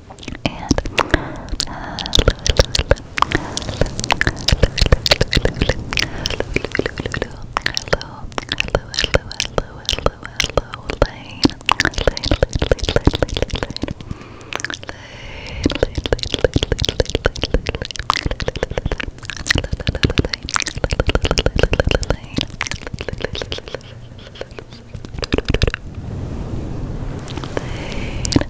and uh, hello, hello, hello, hello, hello, hello, Lane, Lane, Lane, Lane, Lane, Lane,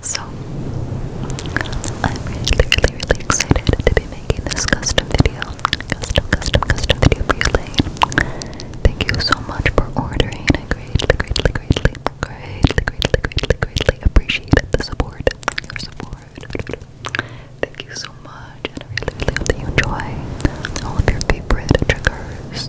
so, I'm really, really, really excited to be making this custom video. Custom, custom, custom video for you, Lane. Thank you so much for ordering. I greatly, greatly, greatly, greatly, greatly, greatly, greatly appreciate the support. Your support. Thank you so much, and I really, really hope that you enjoy all of your favorite triggers.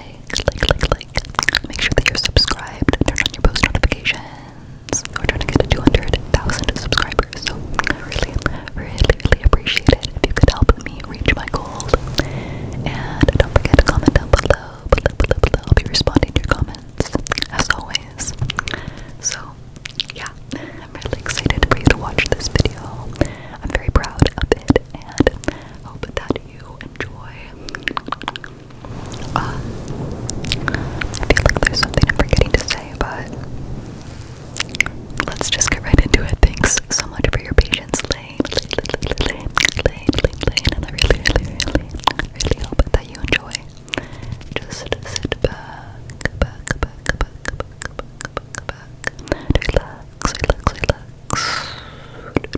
like, like, like, Make sure that you're subscribed. Turn on your post notifications. We're trying to get to 200,000 subscribers. So I really, really, really appreciate it if you could help me reach my goal. And don't forget to comment down below, below, below, below. I'll be responding to your comments as always. So yeah, I'm really excited for you to watch this video. I'm very proud of it and Hope that you enjoy. I feel like there's something I'm forgetting to say, but let's just get right into it. Thanks so much for your patience, Lane. Lane, Lane, Lane, Lane, Lane. And I really, really, really, hope that you enjoy. Just sit back, back, back. Relax, relax, relax. And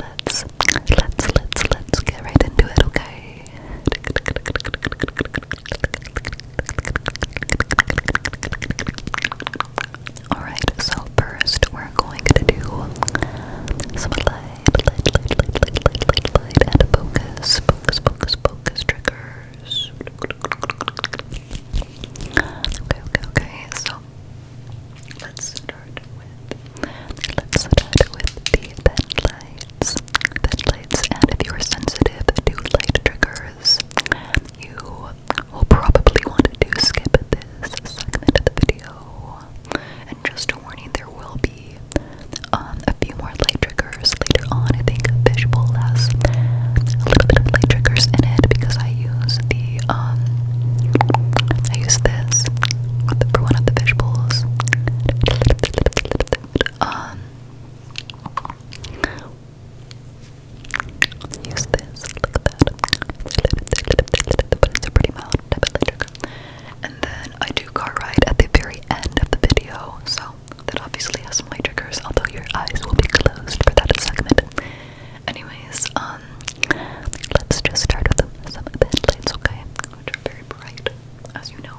let's, let's, let's, let's get right into it, okay? Alright, so first we're going to do some light, light, light, light, light, light, light, light, and focus, focus, focus, focus triggers. Okay, okay, So let's start with let's start with the bed lights. Bed lights, and if you are sensitive to light triggers, you will probably want to skip this segment of the video. And just a warning, there will be um, a few more light triggers later on. I think Fishbowl has a little bit of light triggers in it because I use the I um I use this for one of the visuals. Um use this, look at that. But it's a pretty mild type of trigger. And then I do car ride at the very end of the video, so that obviously has some light triggers, although your eyes will be closed for that segment. Anyways, um, let's just start with some bed lights, okay? Which are very bright, as you know.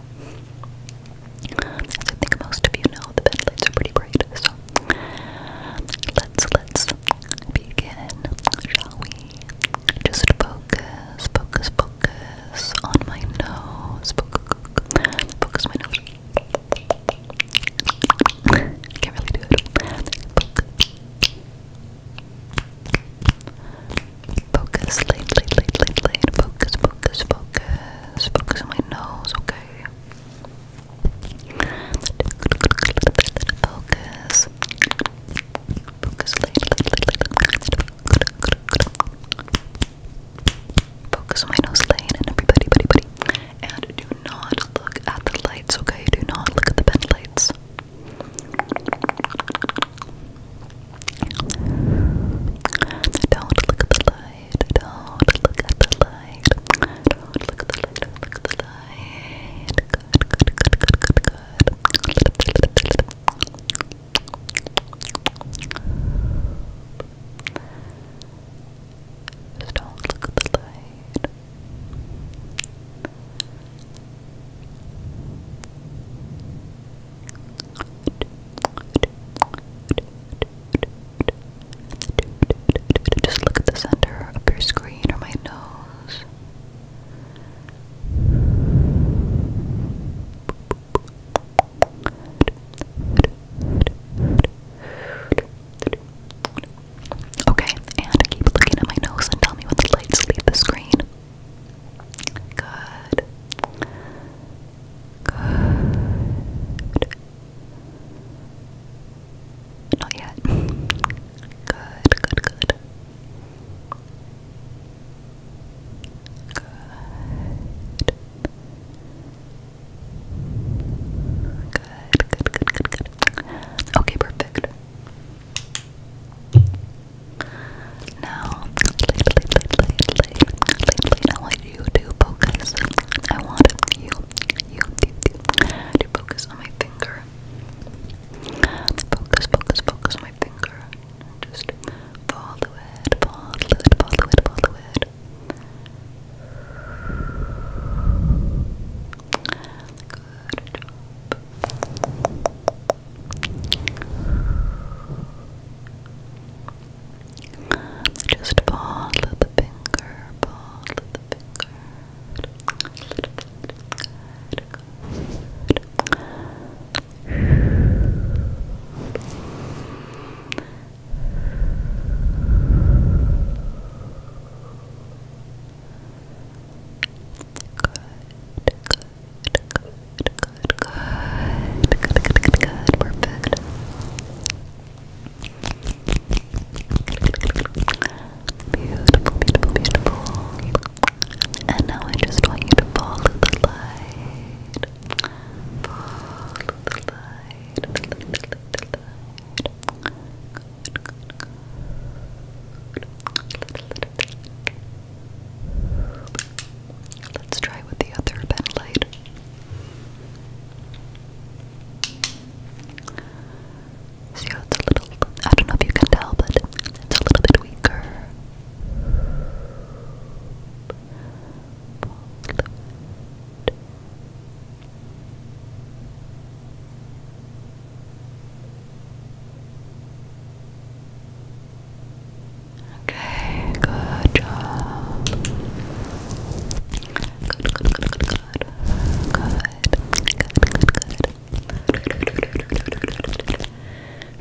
I think most of you know, the bed lights are pretty bright, so let's, let's begin, shall we? Just focus, focus, focus on my nose, focus, focus my nose. Can't really do it. Focus, late, late, late, late, Focus, focus, focus. Focus on my nose, okay? Focus. Focus, late, late, late, late. Focus on my nose, lane, and everybody, buddy, buddy. And do not look at the lights, okay? Do not look at the bed lights. Don't look at the light. Don't look at the light. Don't look at the light. look at the light. Good, good, good, good, good, good. Good, just don't look at the light. Just look at the center of your screen or my nose. Okay, and keep looking at my nose and tell me when the lights leave the screen. Good. Good. Not yet. Good, good, good. Good. Good, good, good, good, Okay, perfect. Now, I want you to focus. I want you, you, you, to focus on my finger. Focus, focus, focus on my finger. Just follow it, follow it, follow it, follow it. Good job. Just follow the finger, follow the finger. Good, good, good, good, good, good, good, good, good. Perfect. Beautiful, beautiful, beautiful. And now I just want you to follow the light. Follow the the light. Let's try with the other pen light. See how it's a little, I don't know if you can tell, but it's a little bit weaker. Okay, good job. Good, good, good, good, good. Good, good, good, good.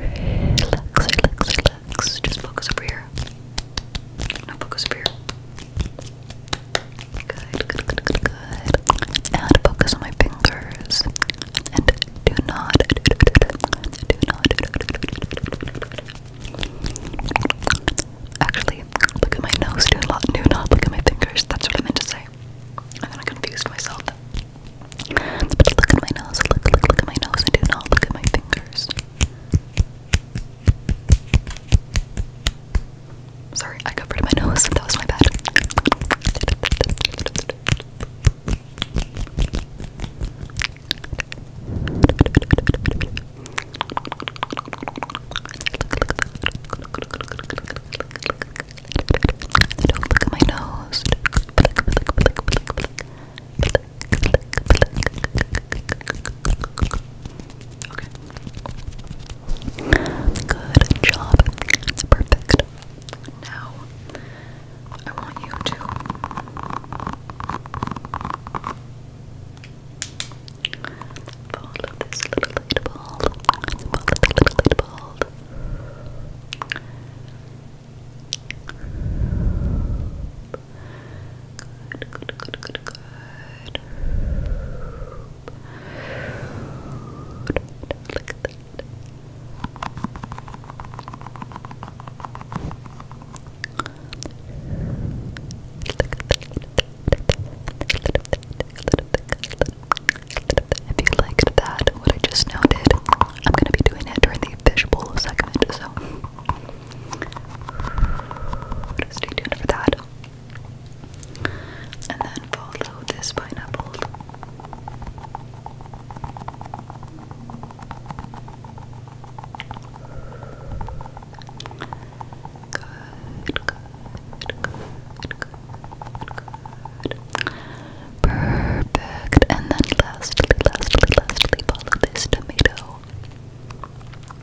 Relax, relax, relax. Just focus over here. Now focus over here. Good, good, good, good, good. And focus on my fingers. And do not, do not. Actually, look at my nose. Do not, do not look at my fingers. That's what I meant to say. And then I confused myself. But look at my nose. Look, look, look at my nose, and do not look at my fingers. Sorry, I got rid of my nose. That was my bad. look at my nose. Okay. Good job. That's perfect. Now, I want you to follow this little light ball. little light ball. Good, good, good, good, good. Look at that. If you liked that, what I just noted, I'm going to be doing it during the fishbowl segment, so stay tuned for that. And then follow this pineapple. Good, good, good, good, good. Perfect. And then lastly, lastly, lastly, follow this tomato.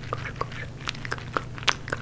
Good, good,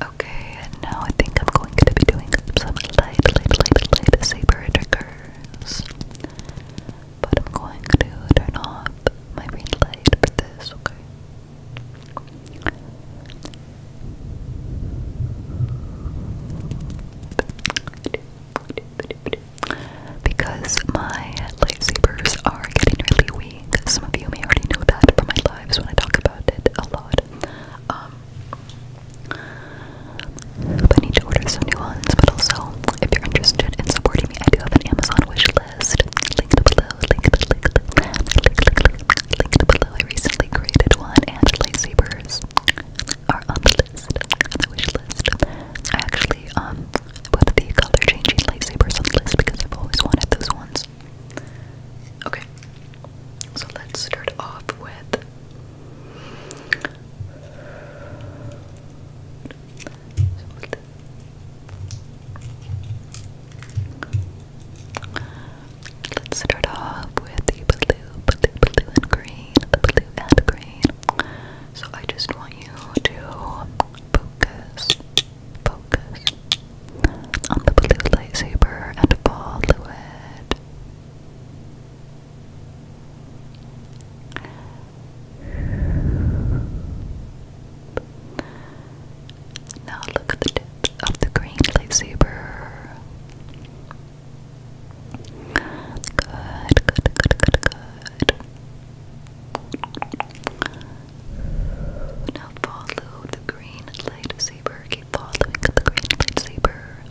Okay, and now I think I'm going to be doing some light, light, light, light saber triggers. But I'm going to turn off my green light for this, okay? Because my lightsabers are getting really weak. Some of you may already know that from my lives when I talk about it a lot. Um, I need to order some new ones. But also, if you're interested in supporting me, I do have an Amazon wish list. Linked below. Linked, below. I recently created one, and lightsabers are on the list, on the wish list. I actually um put the color changing lightsabers on the list because I've always wanted those ones. Okay, so let's start off with Let's start off with the blue, blue, blue and green, blue and green. So I just want you to focus, focus, on the blue lightsaber and follow it. Now look at the tips of the green lightsaber. Good, good, good, good, good. Now follow the green lightsaber lightsaber. Keep following the green lightsaber. Good.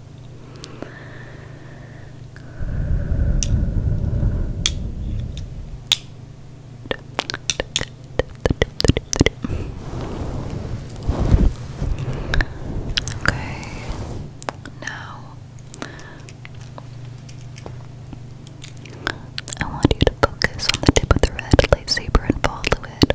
Okay, now I want you to focus on the tip of the red lightsaber and follow it.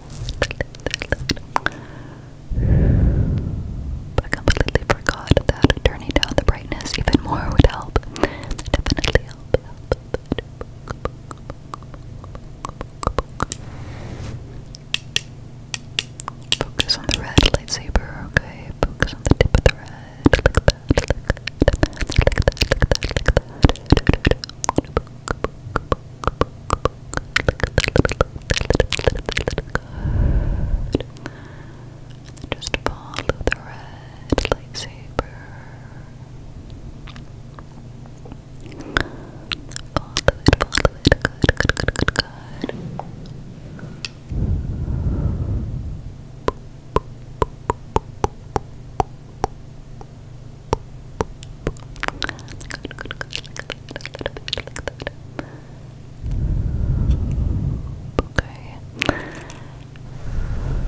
I completely forgot that turning down the brightness even more would help. definitely help. Focus on the red lightsaber, okay? Focus on the tip of the red, Good. And just follow the red lightsaber. Follow it, follow it. Good, good, good, good, good. Good. Okay. Perfect,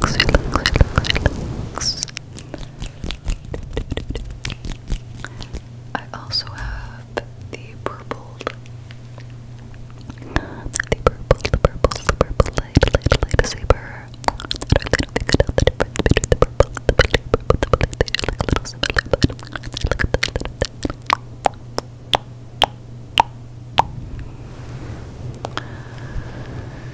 perfect. Relax, relax, relax, relax. I also have the purple, the purple, the purple, the purple light, light, light saber.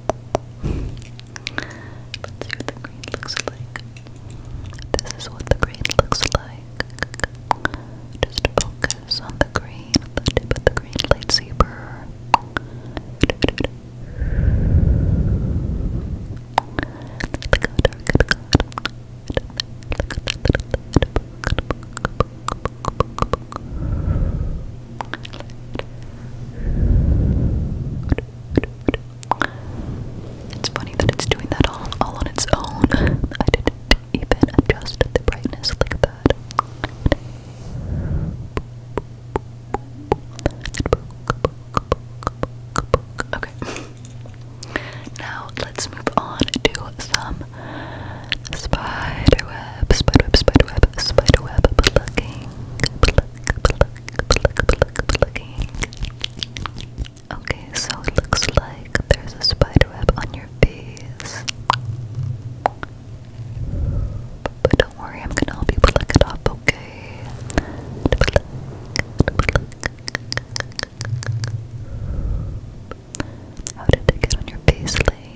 Let's see what the green looks like. This is what the green looks like. Just focus on the green, the tip of the green lightsaber. It's funny that it's doing that all, all on its own. I didn't even adjust the brightness like that. Okay. Now let's move on to some spiderweb, spiderweb, spiderweb, spiderweb plucking, pluck, pluck, Okay, so it looks like there's a spider web on your face. But don't worry, I'm gonna help you pluck it off, okay? How did it get on your face, Lane.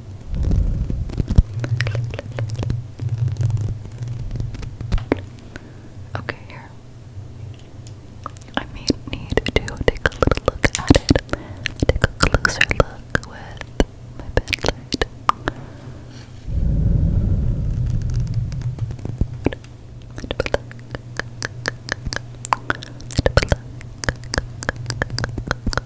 Okay, here. I may need to take a little look at it. Take a closer look with my bed light.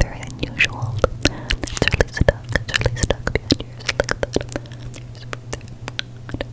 Very unusual. It's really stuck. It's really stuck behind your Look at that.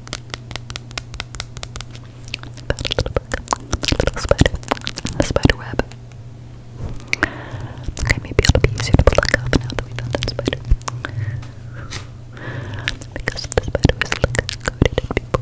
Little spider, a spider web. Okay, maybe it'll be easier to pluck off now that we found that spider. Because the spider was like coated in people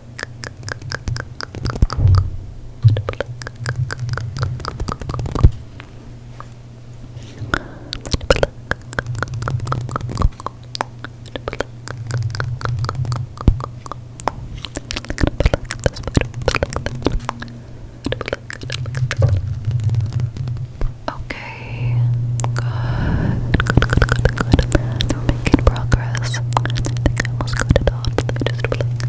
Okay, good, We're making progress. I think I almost got it all. Just blink,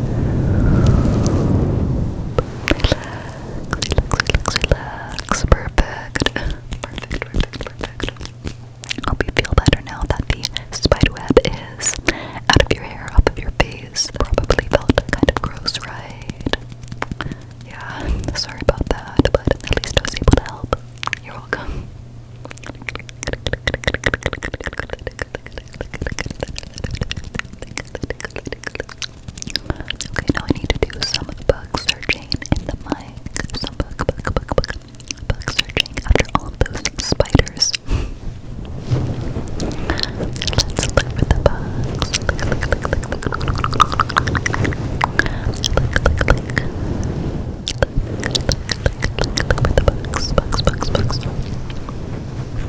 relax, relax. Perfect. Perfect, perfect, perfect. Hope you feel better now that the spider web is out of your hair, off of your face. Probably felt kind of gross, right? Yeah, sorry about that, but at least I was able to help. You're welcome. Okay, now I need to do some bug searching in the mic. Some bug, bug, bug, bug, bug searching after all those spiders. Let's look for the bugs. Look, look, look, look, look, look, look, look, look. Look, look, look, look, look, look for the bugs, bugs, bugs, bugs.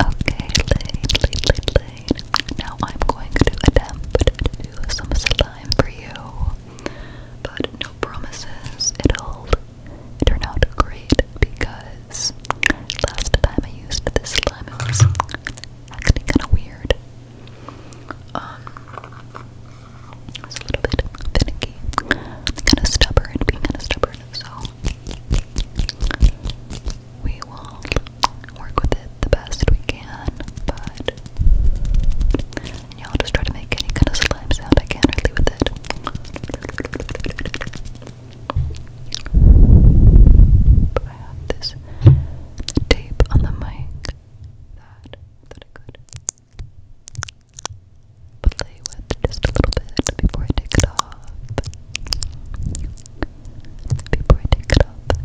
Okay, Now I'm going to attempt to do some slime for you, but no promises. It'll turn out great because last time I used this slime, was acting kind of weird. Um, it was a little bit finicky, kind of stubborn, being kind of stubborn. So we will work with it the best we can, but yeah, I'll just try to make any kind of slime sound I can really with it. But I have this tape on the mic that I I could play with just a little bit before I take it off before I take it off. Okay.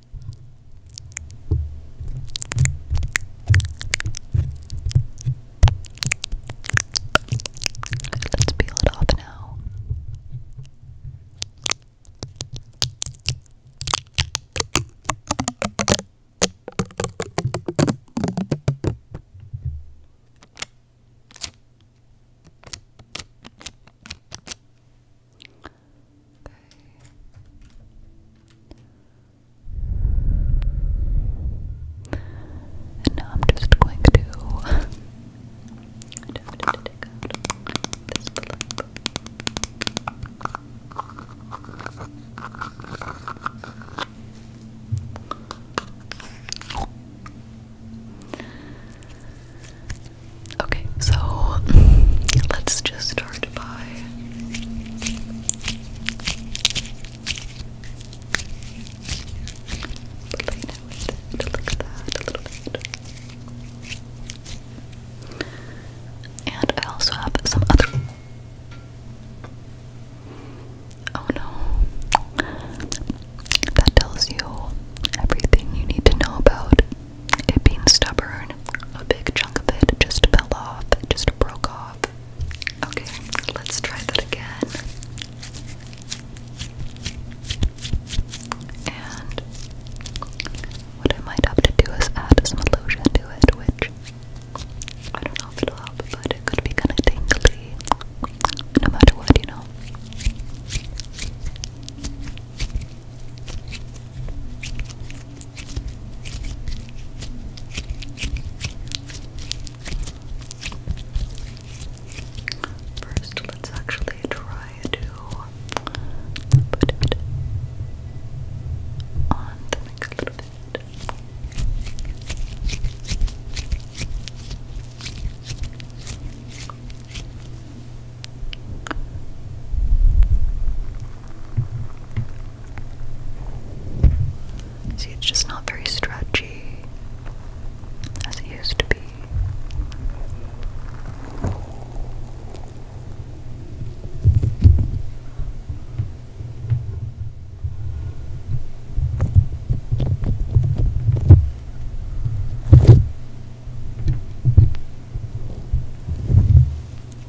Let's peel it off now. Okay. now I'm just going to Okay, so let's just start loved And I also have some other. Oh no. That tells you everything you need to know about it being stubborn, a big chunk of it just fell off, just broke off. Okay, let's try that again. And what I might have to do is add some illusion to it, which I don't know if it'll help, but it could be kind of tingly no matter what, you know. First, let's actually try to put it on the mic a little See, it's just not very stretchy as it used to be.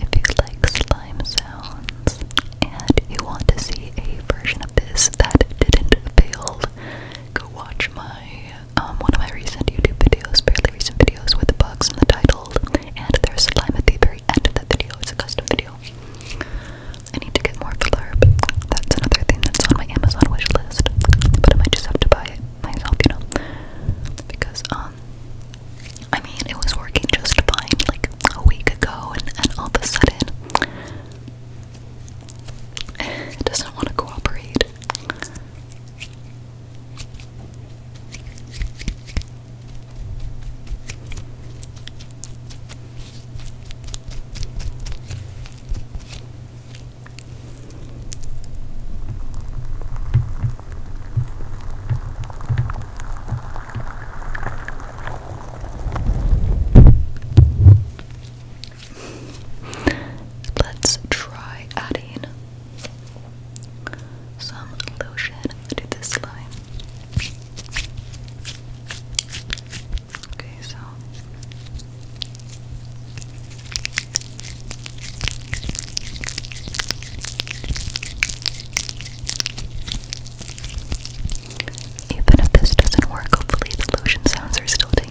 If you like slime sounds and you want to see a version of this that didn't fail, go watch my um one of my recent YouTube videos, fairly recent videos with the bugs in the title, and there's slime at the very end of that video. It's a custom video. I need to get more blurb. That's another thing that's on my Amazon wish list, but I might just have to buy it myself, you know, because um I mean, it was working just fine like a week ago, and, all of a sudden, it doesn't want to cooperate. Let's try adding some lotion to this slime. Okay, so even if this doesn't work, hopefully the lotion sounds are still tingly.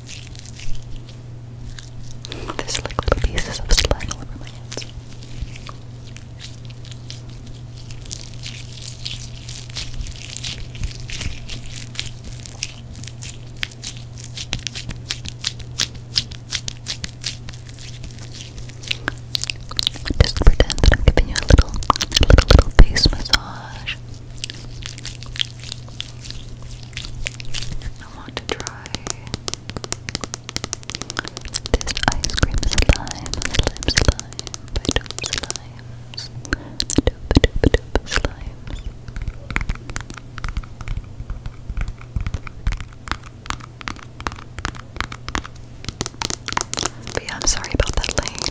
There's liquid little pieces of slime all over my hands. Just pretend that I'm giving you a little, a little, little face massage. I want to try this ice cream slime, slime, slime, by Dope Slimes. Dope, dope, dope yeah, I'm sorry about that lane.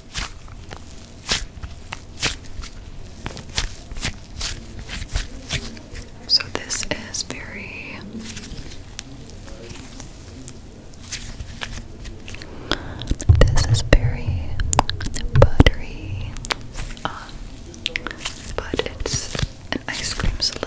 So this is very this is very buttery, uh, but it's an ice cream slime.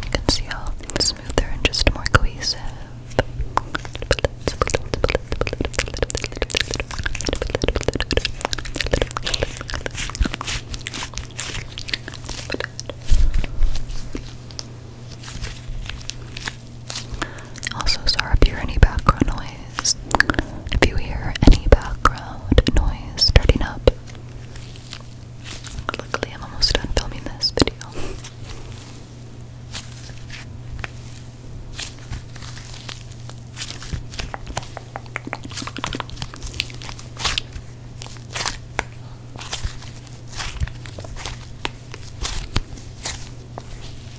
You can see how smoother and just more cohesive. Also, sorry if you hear any background noise. If you hear any background noise starting up, luckily I'm almost done filming this video.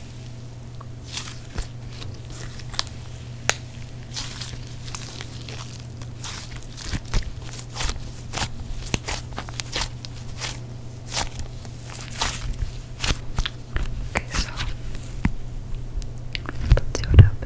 Okay, so let's see what happens.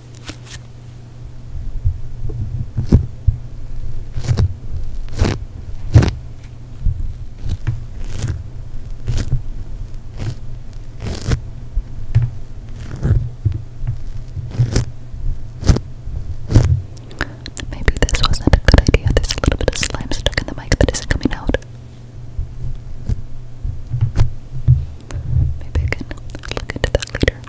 Maybe this wasn't a good idea. There's a little bit of slime stuck in the mic that isn't coming out. Maybe I can look into that later.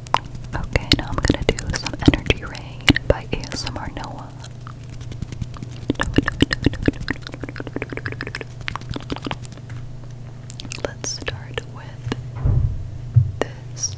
Okay, now I'm gonna do some Energy Rain by ASMR Noah. Let's start with this.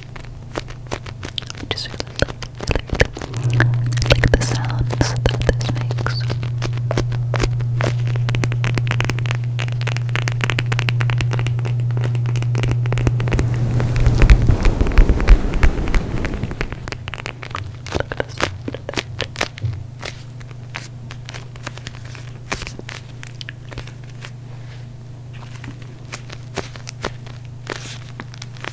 I just really like, like, like the sounds that this makes. Look at this. Look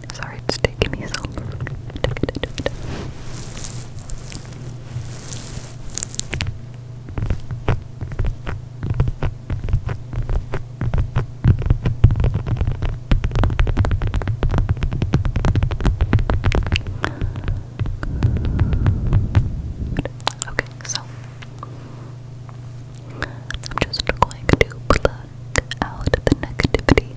Sorry it's taking me so long Okay, so I'm just going to plug out the negativity.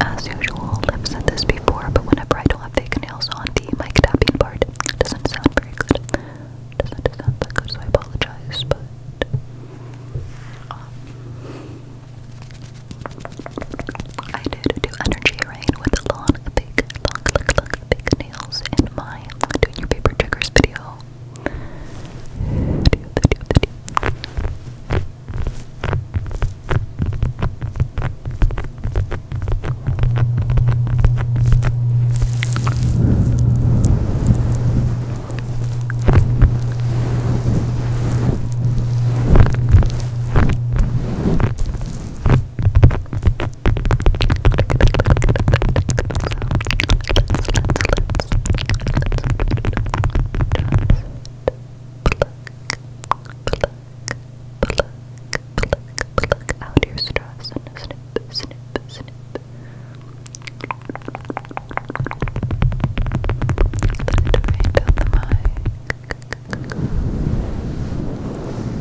As usual, I've said this before, but whenever I don't fake nails on, the mic tapping part doesn't sound very good. Doesn't sound good, so I apologize, but. Um, I did do energy rain with a long, big, long, long, big nails my doing your paper triggers video pluck out your stress and snip, snip, snip. Right the mic. I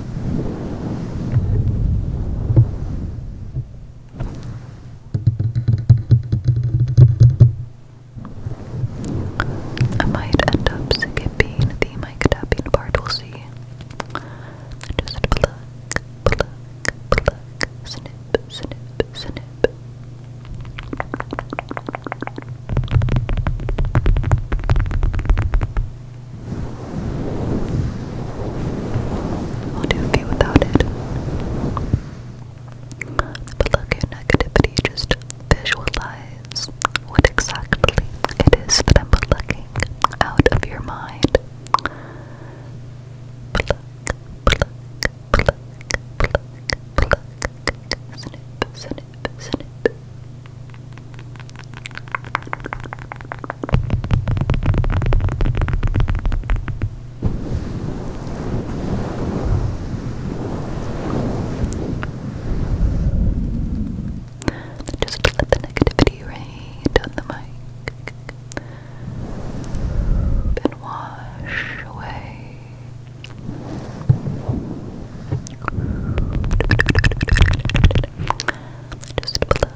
might end up skipping the mic tapping part, we'll see. Just pluck, pluck, pluck, snip, snip, snip. What do you feel without it? But look at negativity, just visualize what exactly it is that I'm plucking out of your mind. Just let the negativity rain on the mic and wash away. Just blow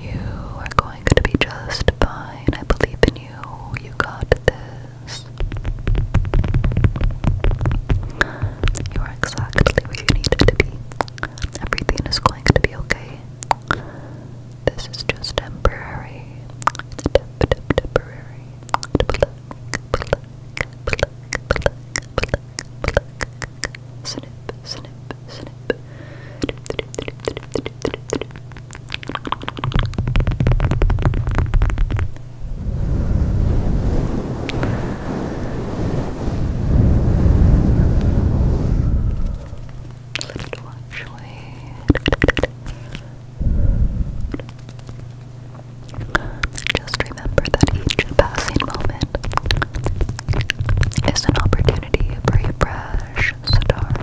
You are going to be just fine. I believe in you. You got this this. You are exactly where you need to be. Everything is going to be okay. This is just temporary. temporary. Lift watch Just remember that each passing moment is an opportunity a fresh start.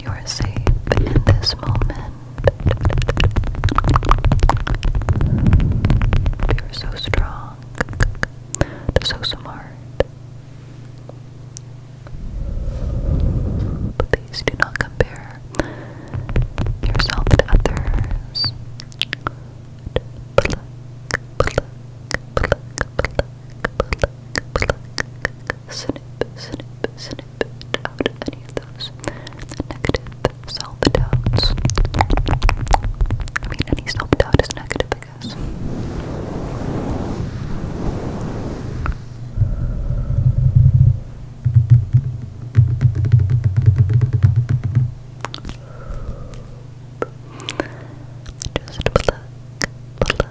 You are safe in this moment. You're so strong, so smart. Please do not compare yourself to others pluck, pluck, negative I mean, any self-doubt is negative, I Just pluck, pluck,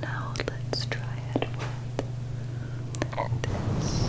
Now let's try it with this.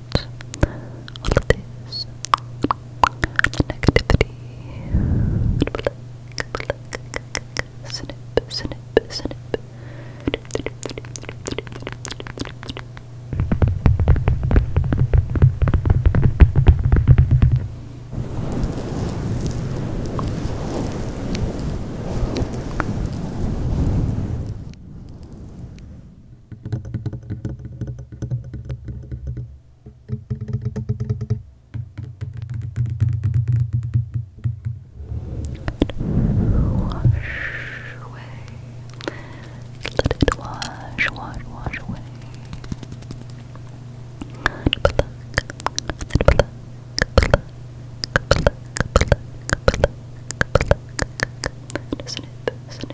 out all of this negativity. Snip, snip, snip. Wash away. Let it wash, wash, wash away.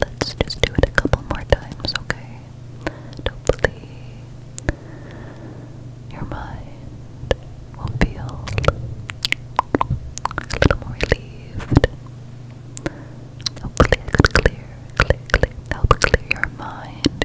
Let's just do it a couple more times, okay? Hopefully, your mind will feel a little more relieved. Hopefully, I could clear, clear, clear, help clear your mind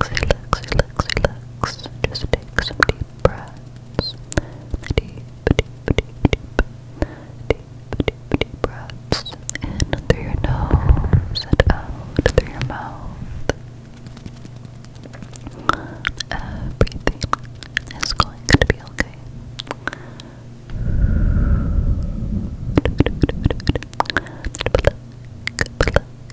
relax, relax, relax. Just take some deep breaths. Deep, deep, deep, deep. Deep, deep, deep breaths. In through your nose and out through your mouth. Everything is going to be okay.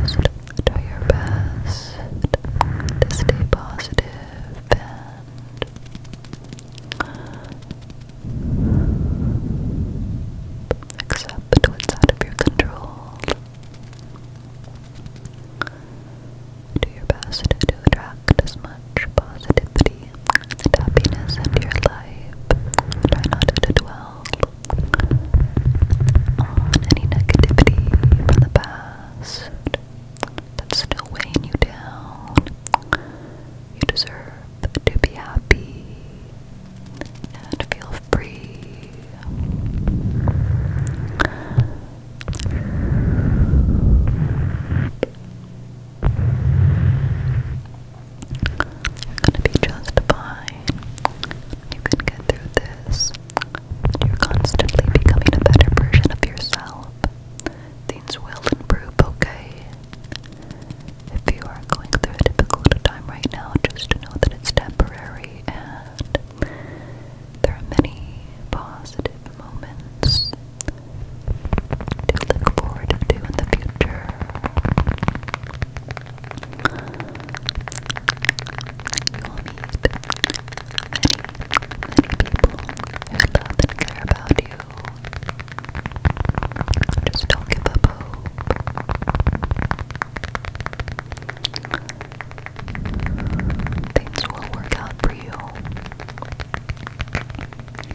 Just try your best to stay positive and accept accept what's out of your control. Do your best to attract as much positivity and happiness into your life. Try not to dwell on any negativity from the past that's still weighing you down. You deserve to be happy and feel breathe. You're gonna be just fine. You can get through this. You're constantly becoming a better version of yourself. Things will improve, okay? If you are going through a difficult time right now, just know that it's temporary and there are many positive moments to look forward to in the future. You'll meet many, many people who love and care about you. Just don't give up hope. Things will work out for you. Let's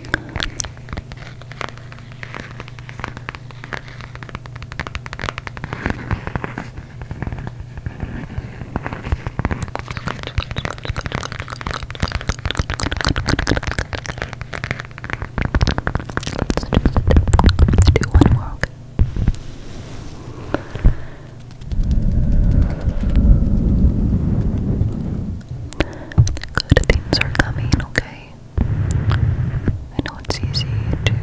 do one more. Good things are coming, okay? I know it's easy to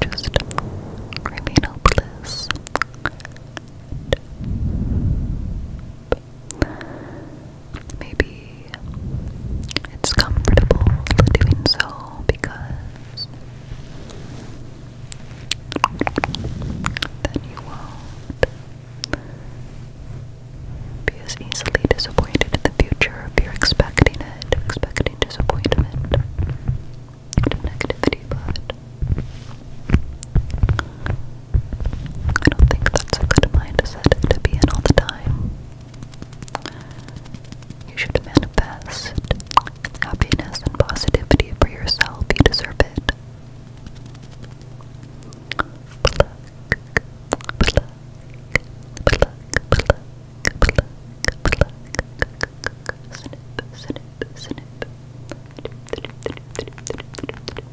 just remain hopeless. Maybe it's comfortable doing so because then you will be as easily disappointed in the future if you're expecting it, expecting disappointment negativity, but I don't think that's a good mindset to be in all the time. You should manifest happiness and positivity for yourself. You deserve it.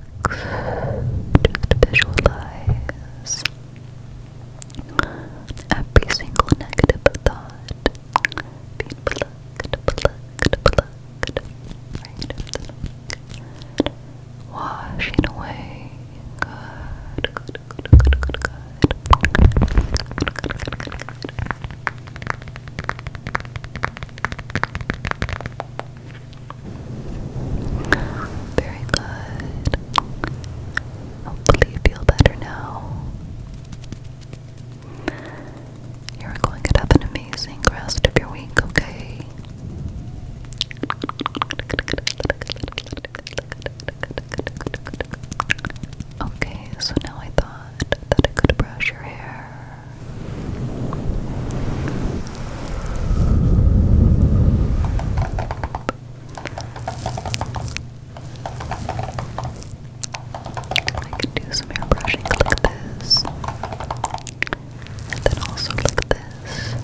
Just visualize every single negative thought being plucked, plucked, plucked, right? Washing away. Good, good, good, good, very good. Hopefully, you feel better now. You're going to have an amazing rest of your week, okay? Okay, so now I thought that I could brush your hair. I can do some hair brushing like this, and then also like this. Okay.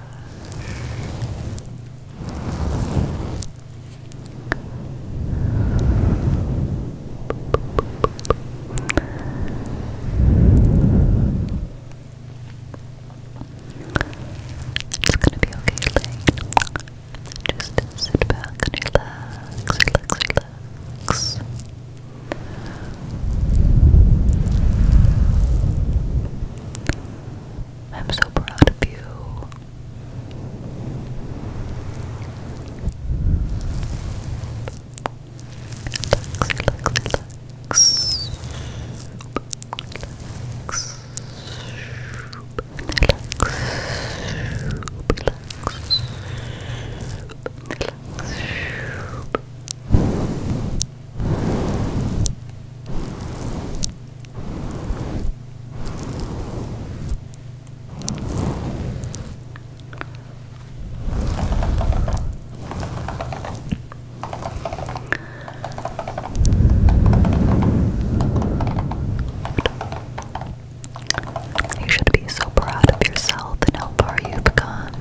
It's gonna be okay, Lane. Just sit back and relax, relax, relax. I'm so proud of you. You should be so proud of yourself and how far you've come.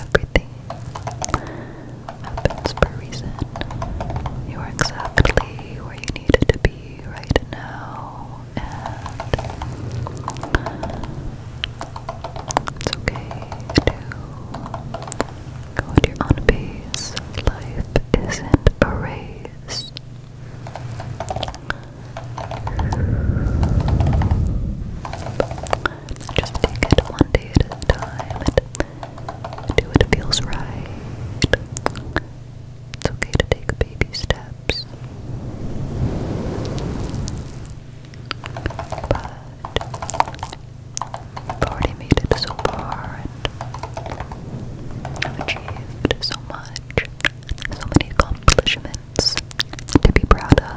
Everything happens for a reason. You are exactly where you needed to be right now, and it's okay to go at your own pace. Life isn't a race. Just take it one day at a time do what feels right. It's okay to take baby steps. But I've already made it so far and I've achieved so much so many accomplishments to be proud of.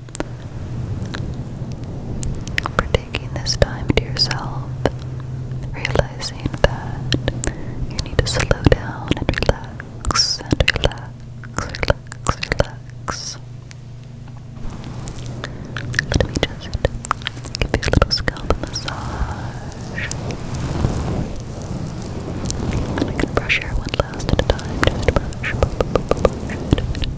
for taking this time to yourself, realizing that you need to slow down and relax and relax, relax, relax. Let me just give you a little scalp massage. And I can brush your hair one last at a time. Just brush, brush, brush, brush, brush,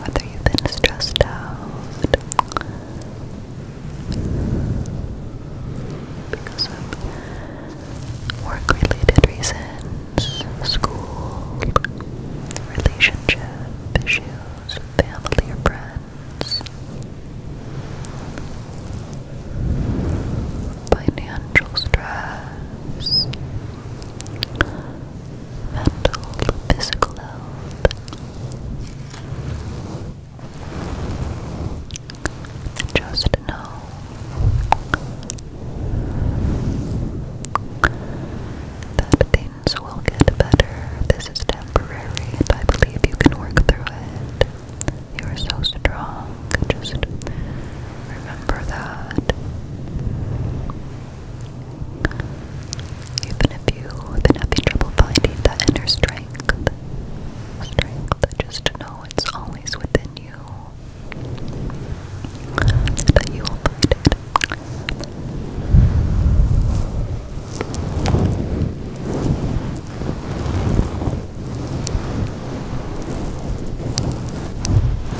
Whether you've been stressed out because of work related reasons, school, relationship issues, family or friends, financial stress illness, mental, physical health. just know that things will get better. This is temporary, and I believe you can work through it. You are so strong. Just Remember that. Even if you've been having trouble finding that inner strength, strength, just know it's always within you. That you will find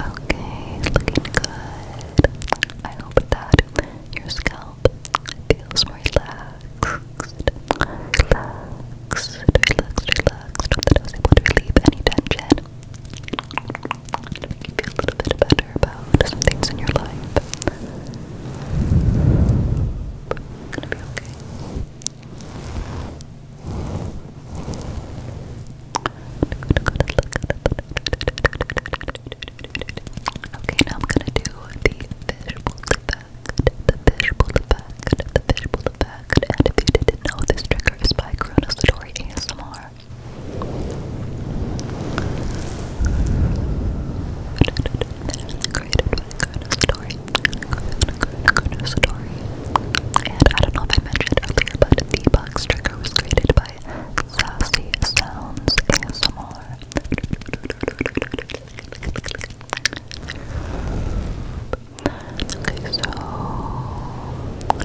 Okay, looking good. I hope that your scalp feels relaxed. Relaxed, relaxed, relaxed. Hope that I was able to relieve any tension. To make you feel a little bit better about some things in your life. Gonna be okay. Okay, now I'm gonna do the fishbowl effect, the fishbowl effect, the fishbowl effect. And if you didn't know, this trigger by Chronostory ASMR. Created by Chronostory good story. And I don't know if I mentioned earlier, but the box trigger was created by Sassy Sounds ASMR. Okay, so I'm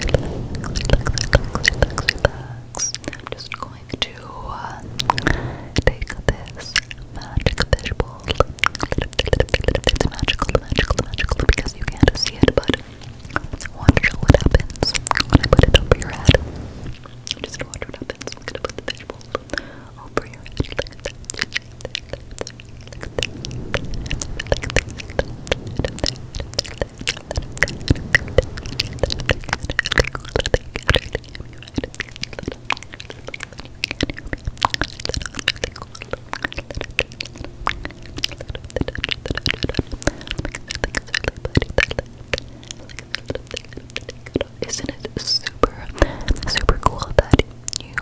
just going to uh, take this magic fishbowl it's magical, magical, magical because you can't see it, but watch what happens when I put it over your head. You're just watch what happens. I'm gonna put the fishbowl over your head isn't it super, super cool that you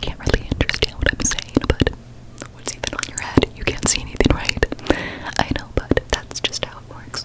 can't really understand what I'm saying, but what's even on your head? You can't see anything, right? I know, but that's just how it works.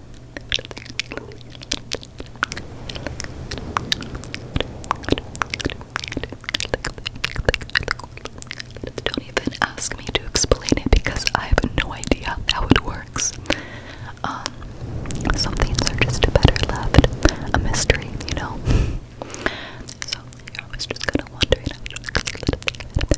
Don't even ask me to explain it because I have no idea how it works. Um, some things are just better left a mystery, you know. So yeah, I was just gonna wonder.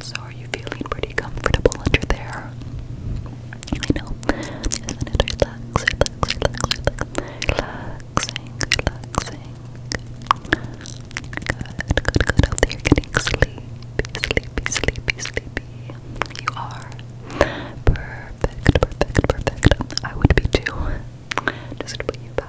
So, are you feeling pretty comfortable under there? I know. I just wanted to relax, relax, Relaxing, relaxing. Good, good, good. Hope that getting sleepy, sleepy, sleepy, sleepy. You are. Perfect, perfect, perfect. I would be too. Just put you back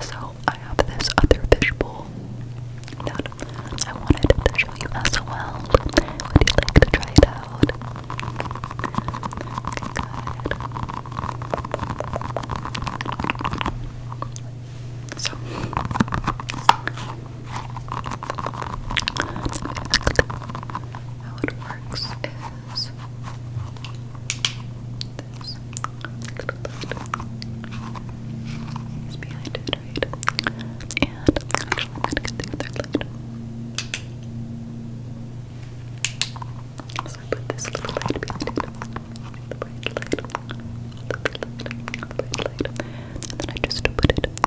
So I have this other fishbowl that I wanted to show you as well. Would you like to try it out? Okay, how it works is this. It's behind it, right? And I'm gonna get the other lid. So I put this little light behind The light. The bright light. The bright light. And then I just put it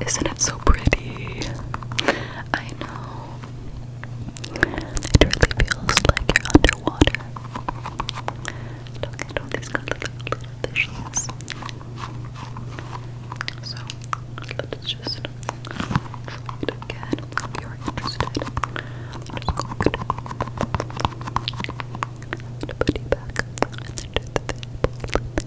Isn't it so pretty? I know. It really feels like you're underwater. Look at all these little, little fishies. So, let's just float again you're interested. just going to put back and the thing.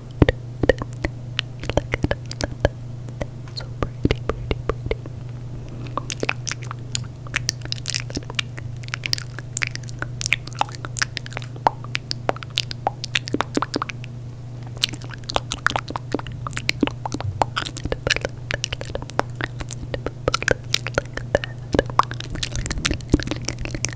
Look at that. So pretty, pretty, pretty. Look at that.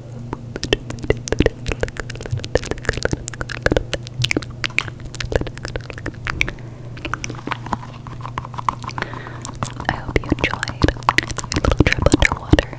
I hope you enjoyed your little trip underwater.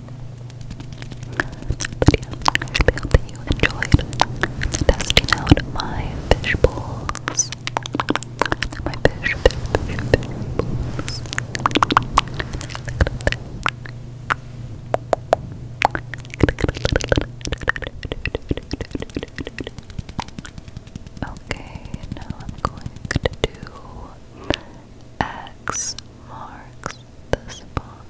But yeah, I really hope that you enjoyed testing out my fish bowls. My fish, fish, fish, fish bowls. Okay, now I'm going to do X marks the spot.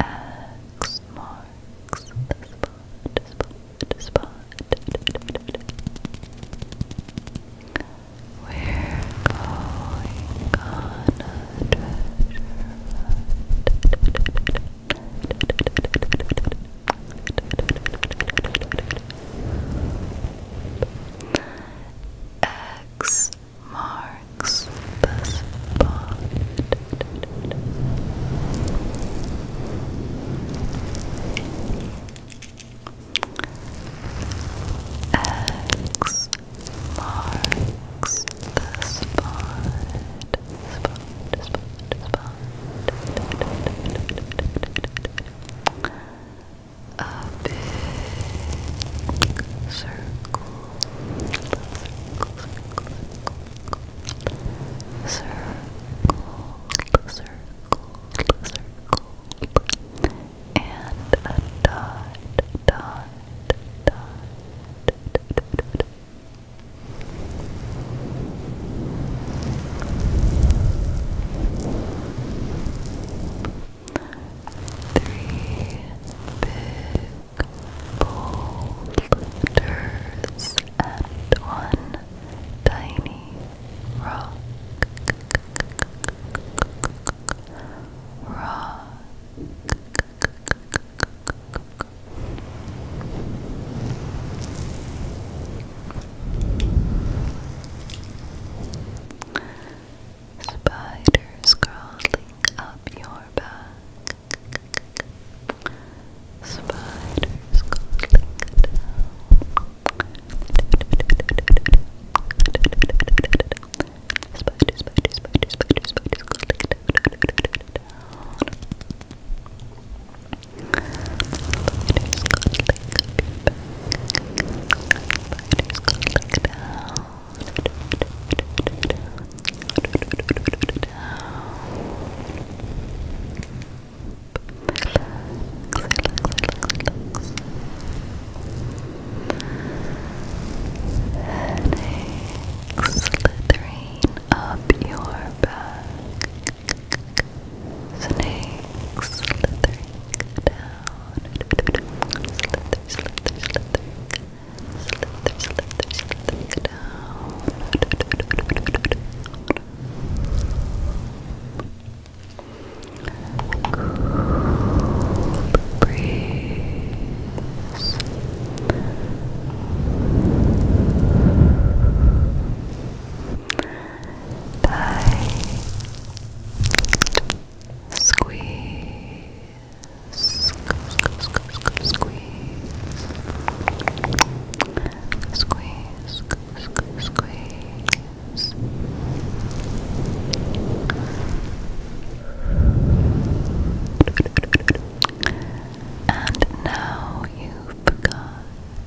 X marks the spot, spot, spot. We're going on a treasure hunt. X marks the spot. X marks the spot. A big circle circle, circle, circle, and a dot, dot, dot three big boulders and one tiny rock. Rock. Spiders crawling up your back. Spiders crawling down. Spiders, spiders, spiders, spiders, spiders crawling down. Spiders crawling down slithering up your back. Snake slithering down. Slither, slither, slither Slither, slither, slither down. Cool breeze squeeze, squeeze, squeeze, squeeze, squeeze, squeeze. And now you've got the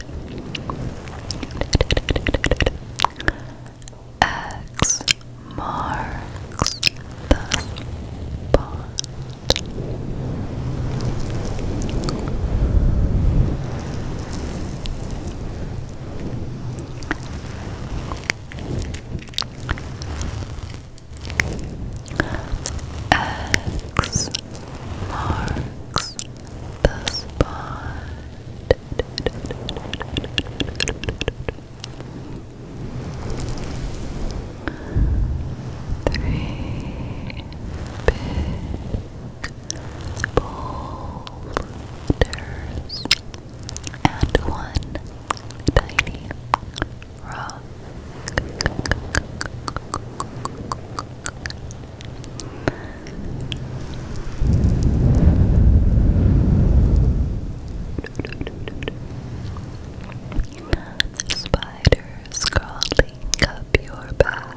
X marks the spot. X marks the spot. Three big boulders and one tiny rock. Spiders crawling up your back.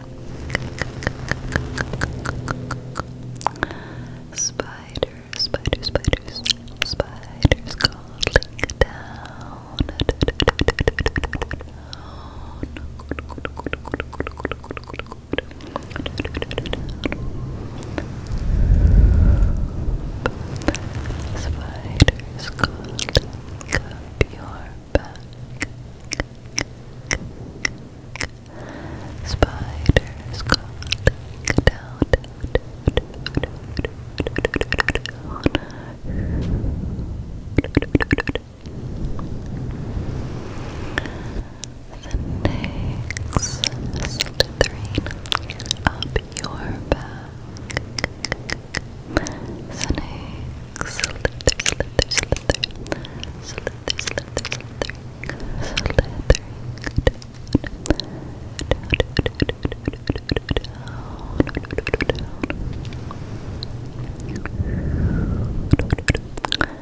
Spiders, spiders, spiders, spiders crawling down. Spiders crawling up your back. Spiders crawling down, down, down, down, down, down. The next slithering up your back. Snake, slither, slither, slither, slither, slither, slithering, slithering, down, down, down, down, down.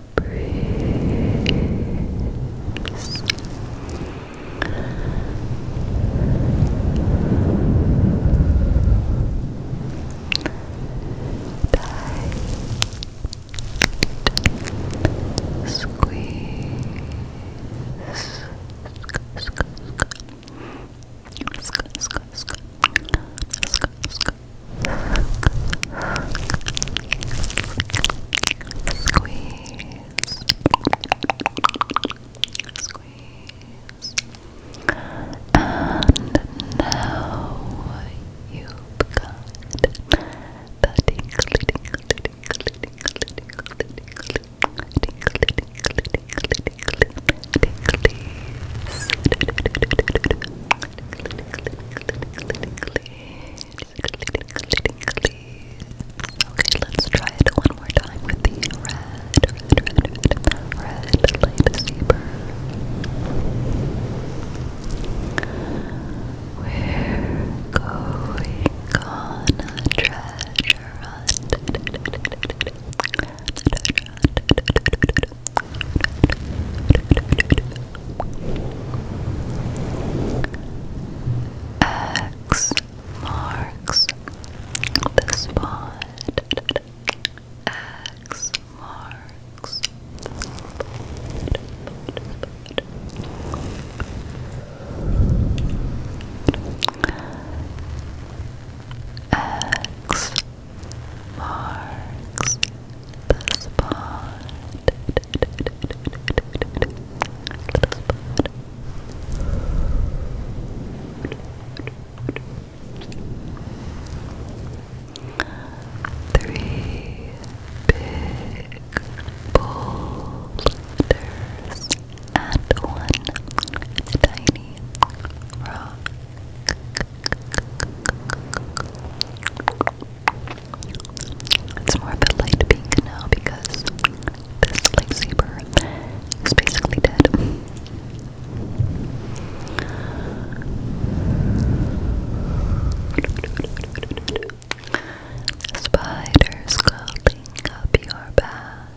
Breathe. Tight. Squeeze. Squeeze. Squeeze. And now you've got the tinkle, tinkle, tinkle, tinkle, tinkle, tinkle, tinkle, tinkle, tinkle, tinkle, tinkle, tinkle, tinkle, Okay, let's try it one more time with the red, red, red, red, We're going on a Treasure hunt. X marks the spot. X marks. X marks the spot. Three big boulders and one tiny rock. It's more of a light pink now because this lightsaber is basically dead. Spiders crawling up your back.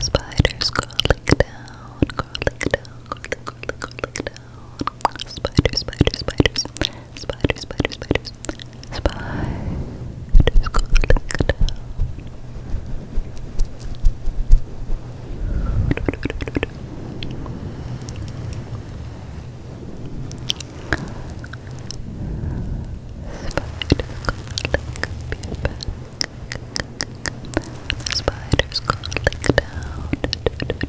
Spiders crawling down, crawling down, crawling, crawling, crawling down. Spiders, spiders, spiders. Spiders, spiders, spiders. Spiders crawling down. Spiders crawling down. Spiders crawling down.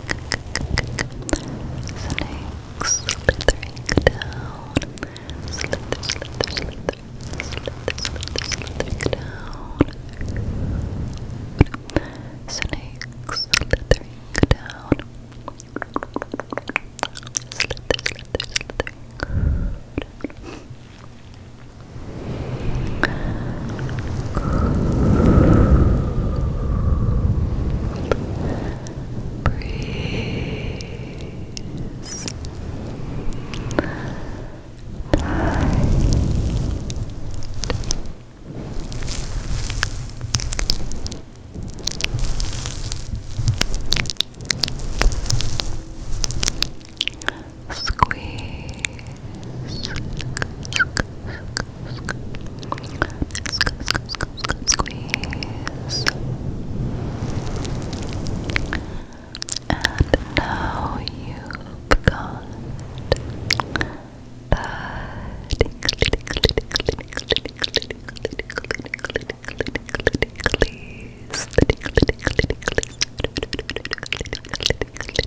Snakes slithering down. Slither, slither, slither. Slither, slithering down. Snakes slithering down. Slither, slither, slithering Breeze. Squeeze. Squeeze. And now you've got the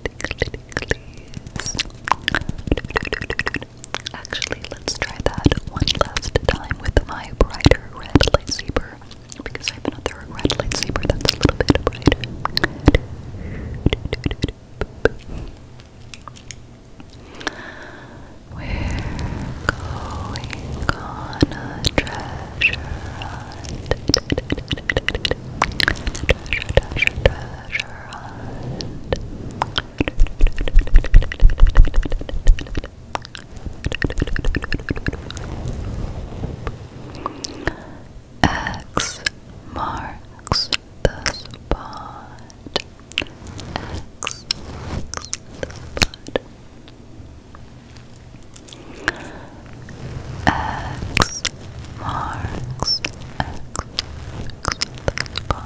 Actually, let's try that one last time with my brighter red lightsaber because I have another red lightsaber that's a little bit brighter. We're going on a treasure hunt. treasure pressure on. X marks the spot. X marks the spot. X marks, X Three big boulders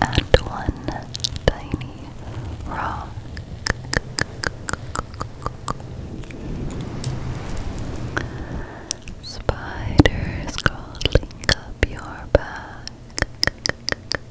and one tiny rock. Spiders crawling up your back.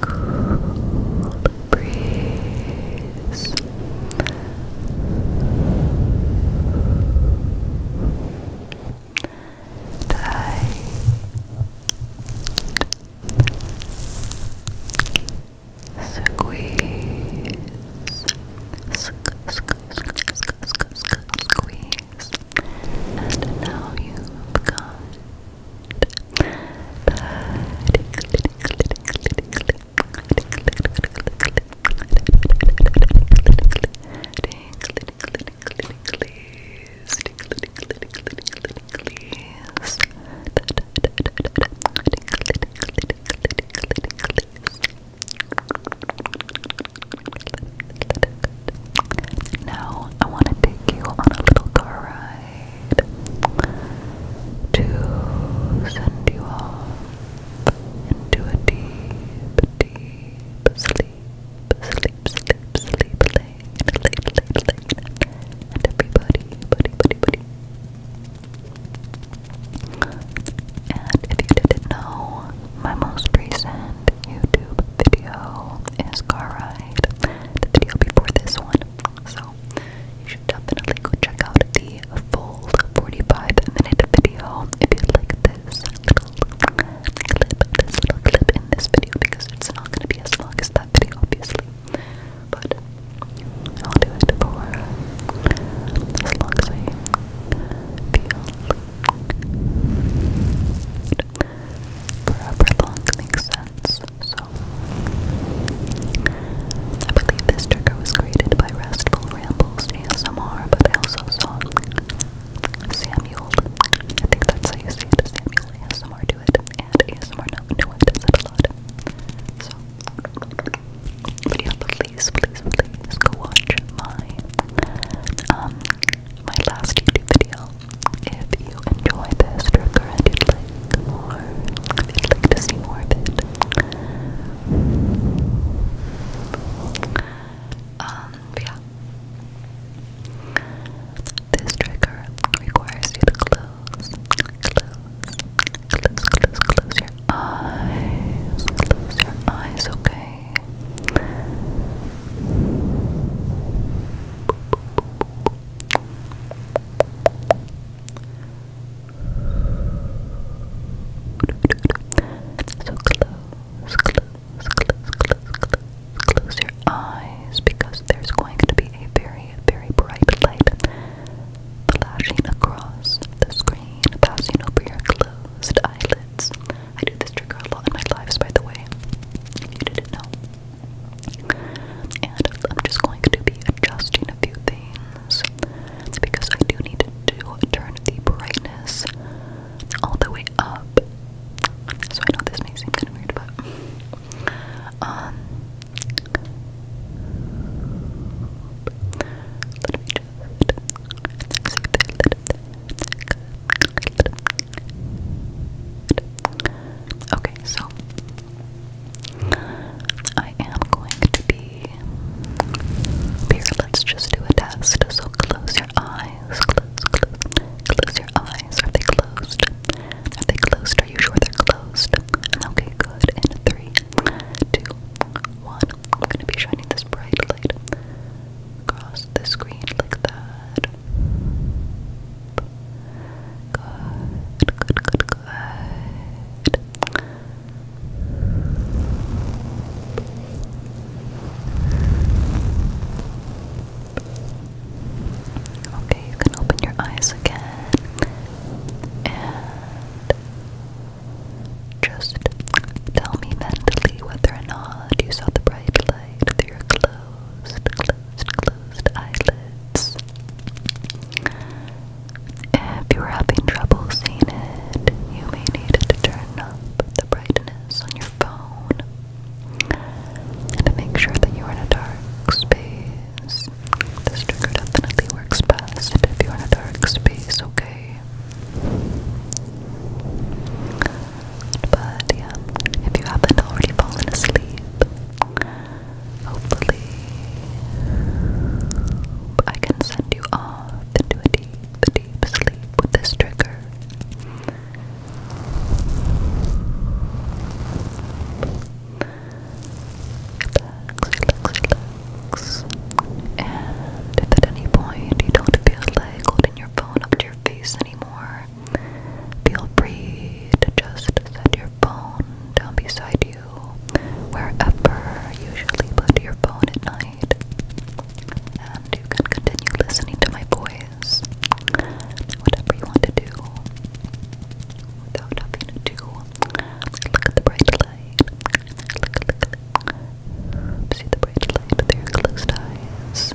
Cool breeze. Tight. Squeeze. Squeeze squeeze. And now you've got Please. Now, I want to take you on a little car ride to send you off into a deep, deep sleep, sleep, sleep, sleep, late, late, late, late. And everybody, buddy, buddy, buddy. And if you didn't know, my most recent YouTube video is Car Ride, the video before this one. So you should definitely go check out the full 45 minute video if you like this little clip, this little clip in this video because it's not going to be as long as that video, obviously. But I'll do it for as long as feel Forever long makes sense, so. I believe this trigger was created by Restful Rambles ASMR, but I also saw Samuel. I think that's how you say it, Samuel ASMR do it, and ASMR no, no one does a lot. So, but please, please, please go watch my um my last YouTube video. If you enjoy this trigger and you'd like more, if you'd like to see more of it. Um, yeah. This trigger requires you to close, close, close, close, close your eyes. Close your eyes, okay? okay. So close, close, close, close, close, close your eyes because there's going to be a very, very bright light flashing across the screen, passing over your closed eyelids. I do this trigger a lot in my lives, by the way, if you didn't know. And I'm just going to be adjusting a few things because I do need to turn the brightness all the way up. So I know this may seem kind of weird, but um, Okay, so I am going to be here. Let's just do a test. So close your eyes. Close, close, close your eyes. Are they closed? Are they closed? Are you sure they're closed? Okay, good. In three, two, one. I'm gonna be shining this bright light across the screen like that. Good, good, good, good. Okay, you can open your eyes again and just tell me mentally whether or not you saw the bright light through your closed, closed, closed eyelids. If you were having trouble seeing it, you may need to turn up the brightness on your phone and to make sure that you're in a dark space. This trigger definitely works best if you're in a dark space, okay? But yeah, if you haven't already fallen asleep, hopefully I can send you off into a deep, deep sleep with this trigger. And if at any point you don't feel like holding your phone up your face anymore. Feel free to just set your phone down beside you wherever you usually put your phone at night. And you can continue listening to my voice, whatever you want to do, without having to do. Look at the bright light. See the bright light with your closed eyes.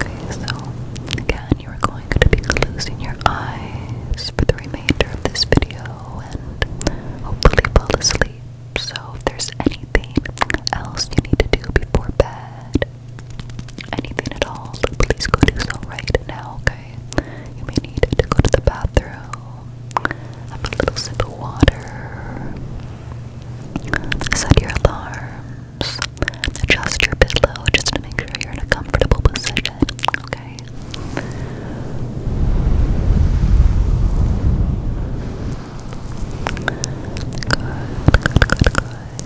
Okay, so again, you are going to be closing your eyes for the remainder of this video and hopefully fall asleep. So, if there's anything else you need to do before bed, anything at all, please go do so right now, you may need to go to the bathroom, have a little sip of water, set your alarms, adjust your pillow just to make sure you're in a comfortable position, okay? Good, good,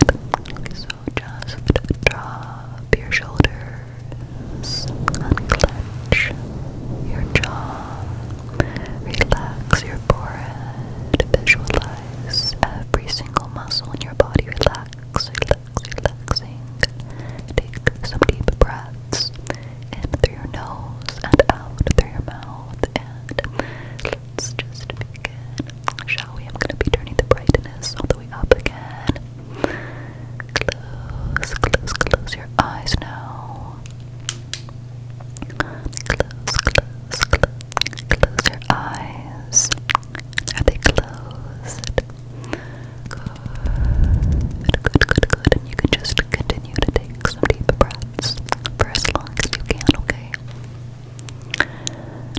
good, good. so just drop your shoulders unclench your jaw, relax your forehead, visualize every single muscle in your body relax, relax, relaxing. Take some deep breaths in through your nose and out through your mouth and let's just begin. Shall we? I'm gonna be turning the brightness all the way up again. Close, close, close your eyes now. Close, close, close, close your eyes. Are they closed? Good, good, good, good. And you can just continue to take some deep breaths for as long as you can, okay?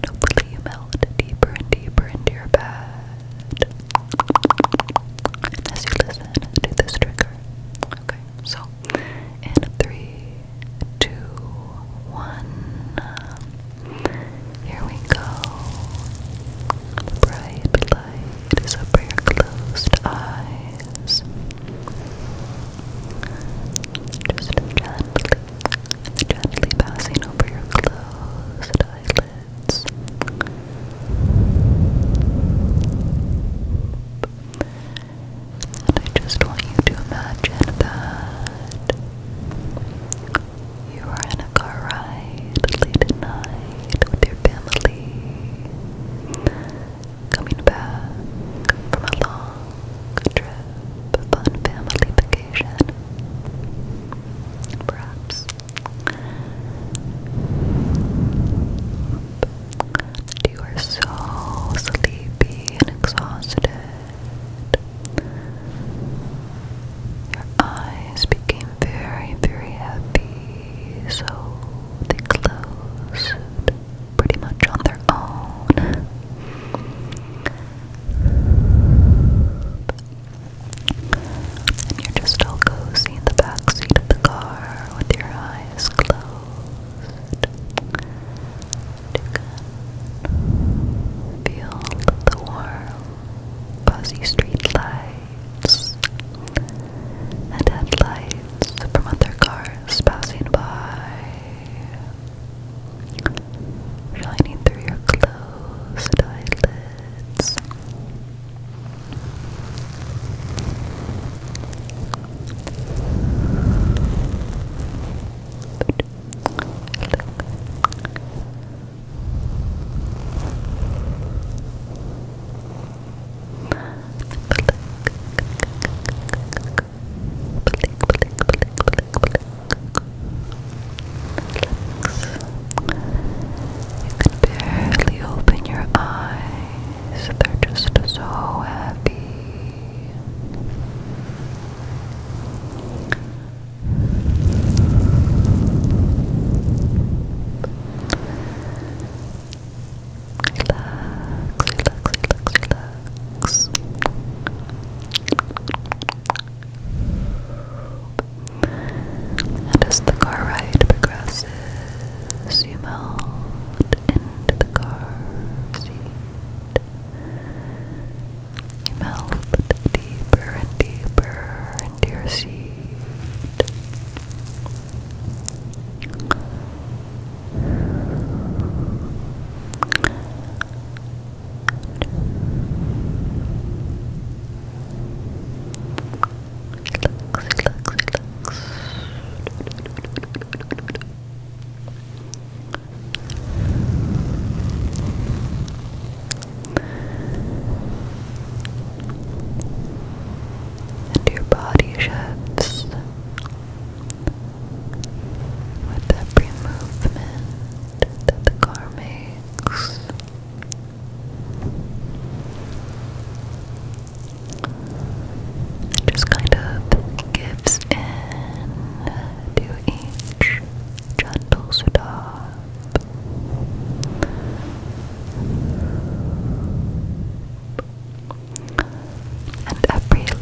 hopefully you melt deeper and deeper into your bed as you listen to this trigger. Okay, so in three, two, one, here we go. Bright light is over your closed eyes. Just gently, gently passing over your closed eyelids. And I just want you to imagine that you are in a car ride late at night with your family, coming back from a long trip, a family vacation, perhaps. You are so sleepy and exhausted. Your eyes became very, very heavy, so they closed pretty much on their own. And you're just all cozy in the back seat of the car with your eyes closed. feel the warm, fuzzy street and headlights from other cars passing by. Shining through your closed eyelids, you can barely open your eyes. They're just so heavy. Relax, relax, relax, relax. And as the car ride progresses, pieces. You melt into the car seat. You melt deeper and deeper into your seat. And your body shifts with every movement that the car makes. Just kind of gives in to each gentle stop. And every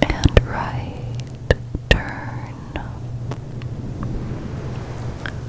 left and right turn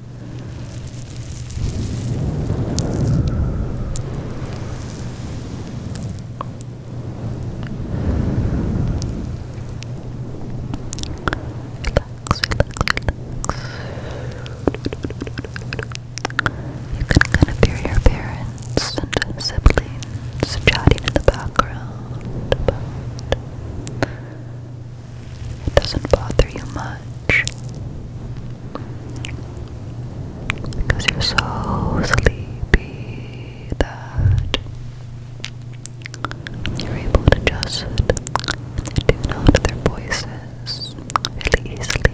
You can kind of hear your parents and siblings chatting in the background it doesn't bother you much because you're so sleepy that you're able to just tune out their voices really easily.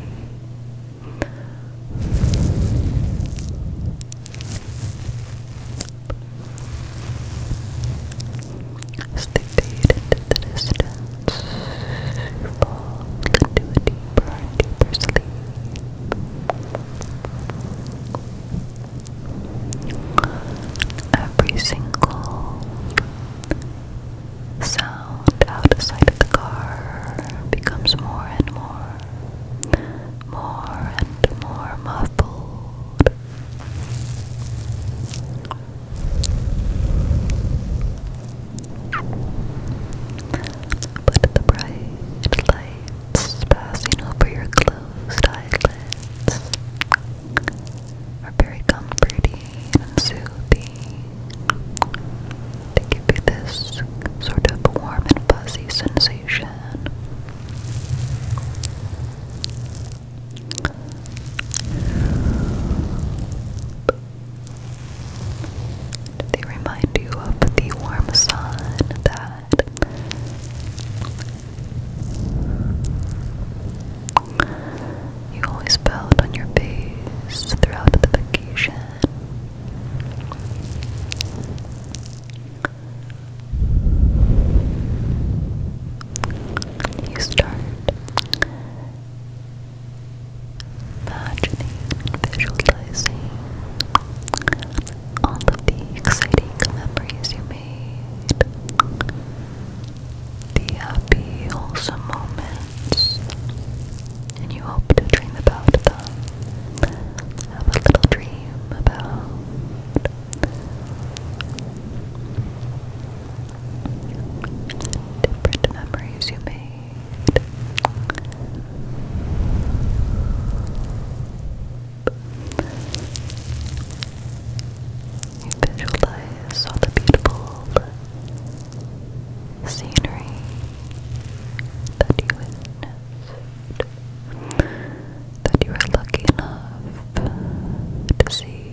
As they fade into the distance, you fall into a deeper deeper sleep. Every single sound outside of the car becomes more and more, more and more muffled. But the bright lights passing over your closed eyelids are very comforting and soothing. They give you this sort of warm and fuzzy sensation. They remind you of the warm sun that you always felt on your face throughout the vacation. You start Imagining visualizing all of the exciting memories you made, the happy, wholesome moments, and you hope to dream about them. Have a little dream about different memories you made. You visualize all the beautiful scenery that you witnessed, that you were lucky enough to see.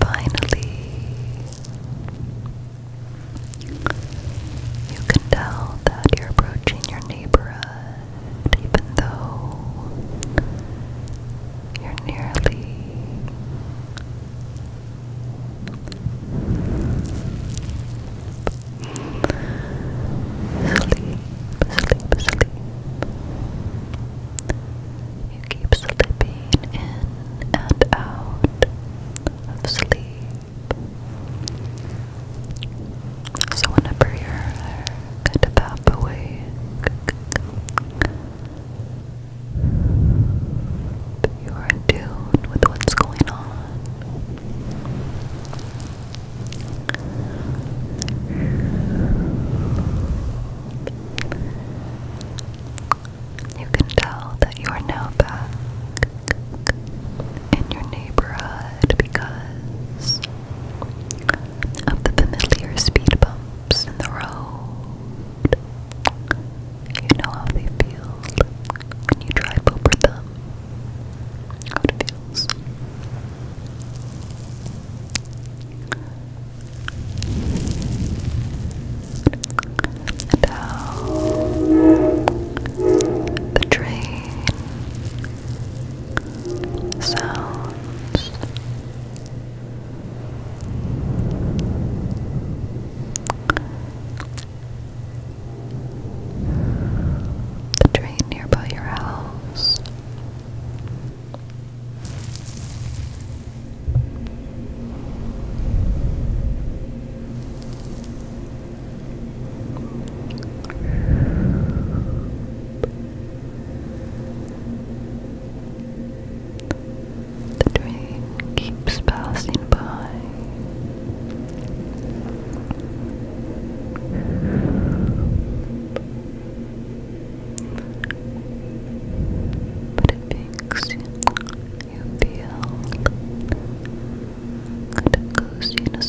Finally, you can tell that you're approaching your neighborhood even though you're nearly sleep, sleep, sleep. You keep slipping in and out of sleep. So whenever you're kind of half awake, you are in tune with what's going on. You can tell that you are now back in your neighborhood because of the familiar speed bumps in the road. You know how they feel when you drive over them. How it feels. And how the train sounds the train nearby your house. The train keeps passing by. But it makes you feel Good, cozy, Relax.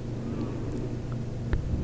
really long train. It's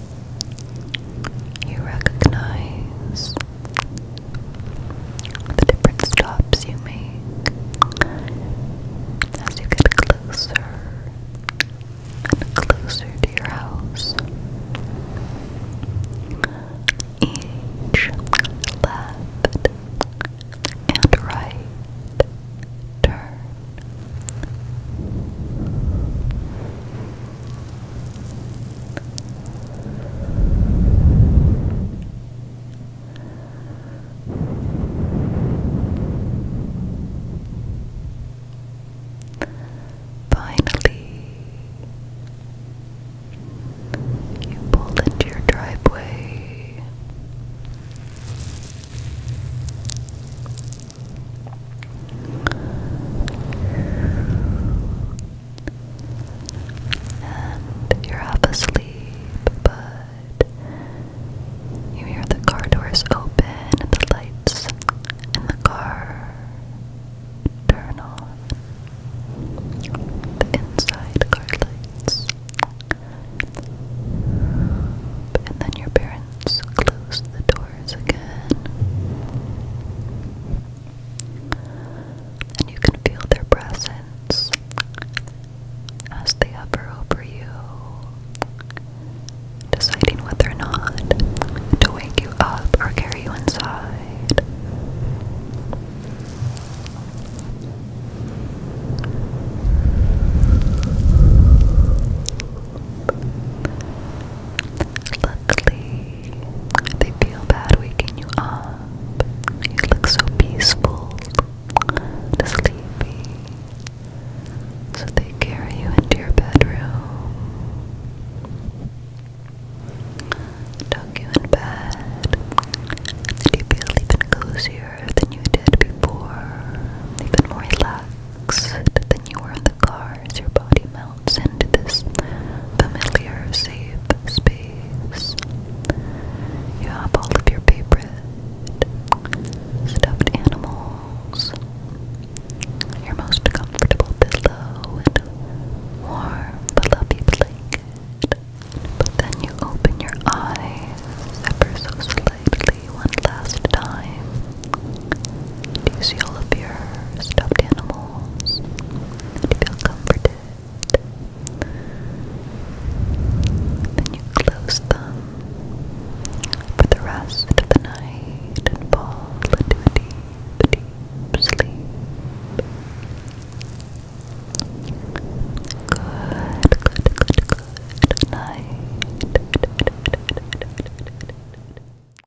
You recognize the different stops you make as you get closer and closer to your house. Each left and right turn Finally, you pulled into your driveway. And you're half asleep, but you hear the car doors open and the lights in the car turn on. The inside car lights. And then your parents close the door. And you can feel their presence as they hover over you, deciding whether or not to wake you up or carry you inside. Luckily, they feel bad waking you up. You look so peaceful, sleepy. So they carry you into your bedroom, tuck you in bed, and you feel even cozier than you did before, even more relaxed than you were in the car as your body melts into this familiar, safe space. You have all of your favorite stuffed animals, your most comfortable pillow, and warm, fluffy blanket. But then you open your eyes ever so slightly one last time do you see all of your stuffed animals? Do you feel comforted? Then you close them for the rest of the night and fall into a deep, sleep. Good, good, good, good night.